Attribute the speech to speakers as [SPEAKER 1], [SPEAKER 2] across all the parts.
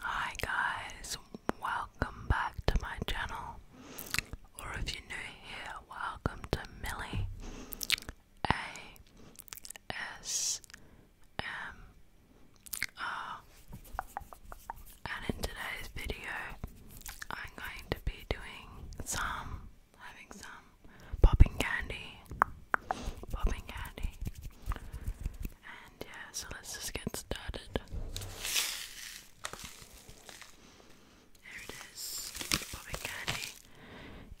[SPEAKER 1] Hi guys, welcome back to my channel. Or if you're new here, welcome to Millie A S M R. And in today's video, I'm going to be doing some, having some popping candy popping candy. And yeah, so let's just get started. There it is, popping candy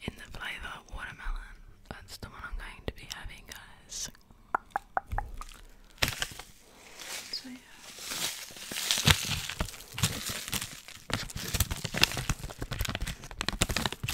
[SPEAKER 1] in the flavour watermelon. That's the one I'm going to be having, So yeah.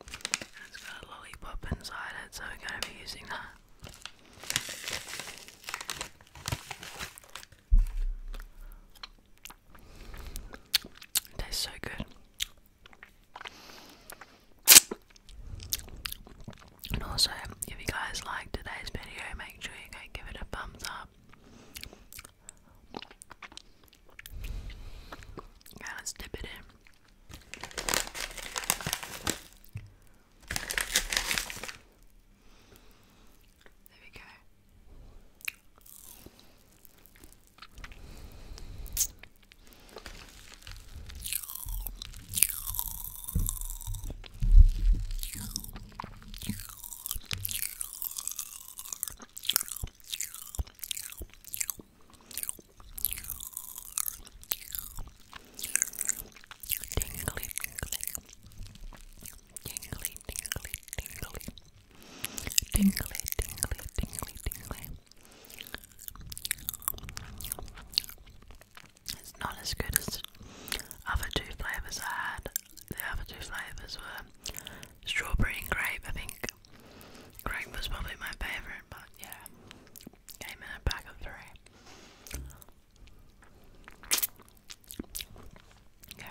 [SPEAKER 1] it's got a lollipop inside it, so we're going to be using that. tastes so good. And also, if you guys like today's video, make sure you go give it a thumbs up. Yeah, let's dip it in. There we go. Tingly, tingly, tingly, tingly, tingly, tingly, tingly, tingly. It's not as good as other two flavors I had. The other two flavors were strawberry and grape, I think. Greg was probably my favorite, but yeah, came in a pack of three. Okay.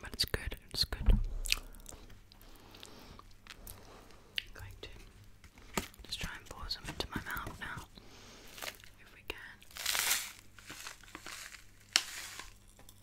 [SPEAKER 1] But it's good, it's good. I'm going to just try and pour some into my mouth now, if we can.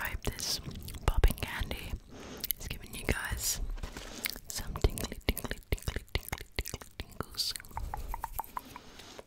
[SPEAKER 1] I hope this popping candy is giving you guys some tingly, tingly, tingly, tingly, tingly tingles.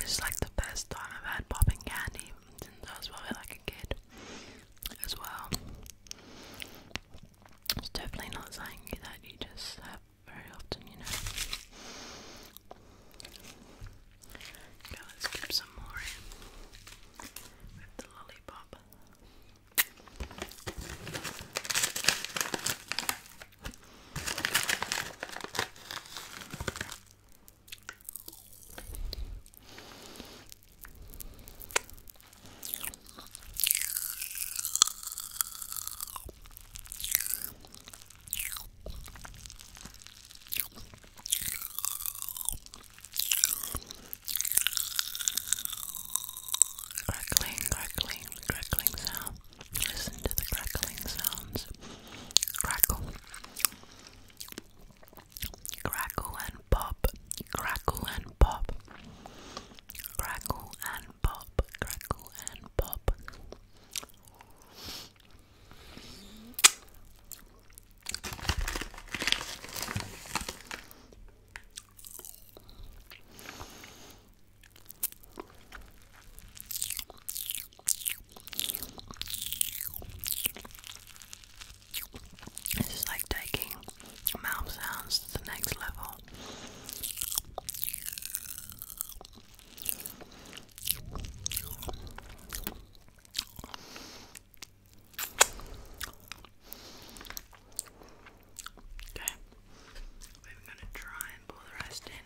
[SPEAKER 1] It's like the best time I've had popping candy since I was probably like a kid as well. It's definitely not something that you just have very often, you know. Okay, let's keep some more lollipop. Crackling, crackling, crackling sound. Listen to the crackling sounds. Crackle. Crackle and pop. Crackle and pop. Crackle and pop. Crackle and pop. This is like taking mouth sounds to the next level. Okay, we're gonna try and pull the rest in.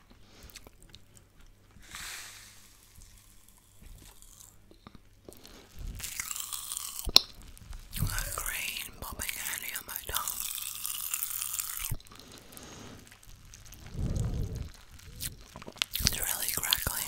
[SPEAKER 1] green popping candy on my tongue. It's really crackly.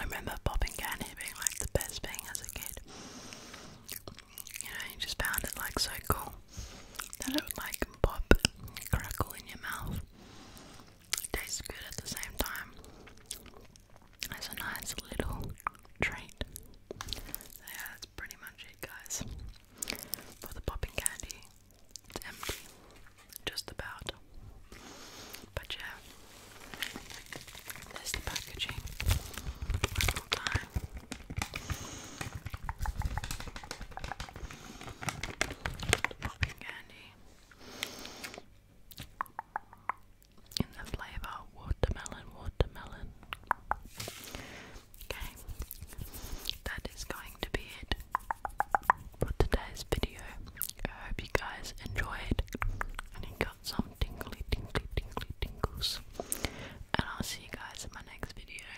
[SPEAKER 1] I remember popping candy being like the best thing as a kid. You know, you just found it like so cool that it like pop crackle in your mouth. It tastes good at the same time. It's a nice little treat. yeah, that's pretty much it, guys. For the popping candy, it's empty, just about. But yeah, there's the packaging popping candy in the flavour watermelon, watermelon. Okay, that is going to be it for today's video. I hope you guys enjoyed and got some tingly, tingly, tingly, tingles. And I'll see you guys in my next video.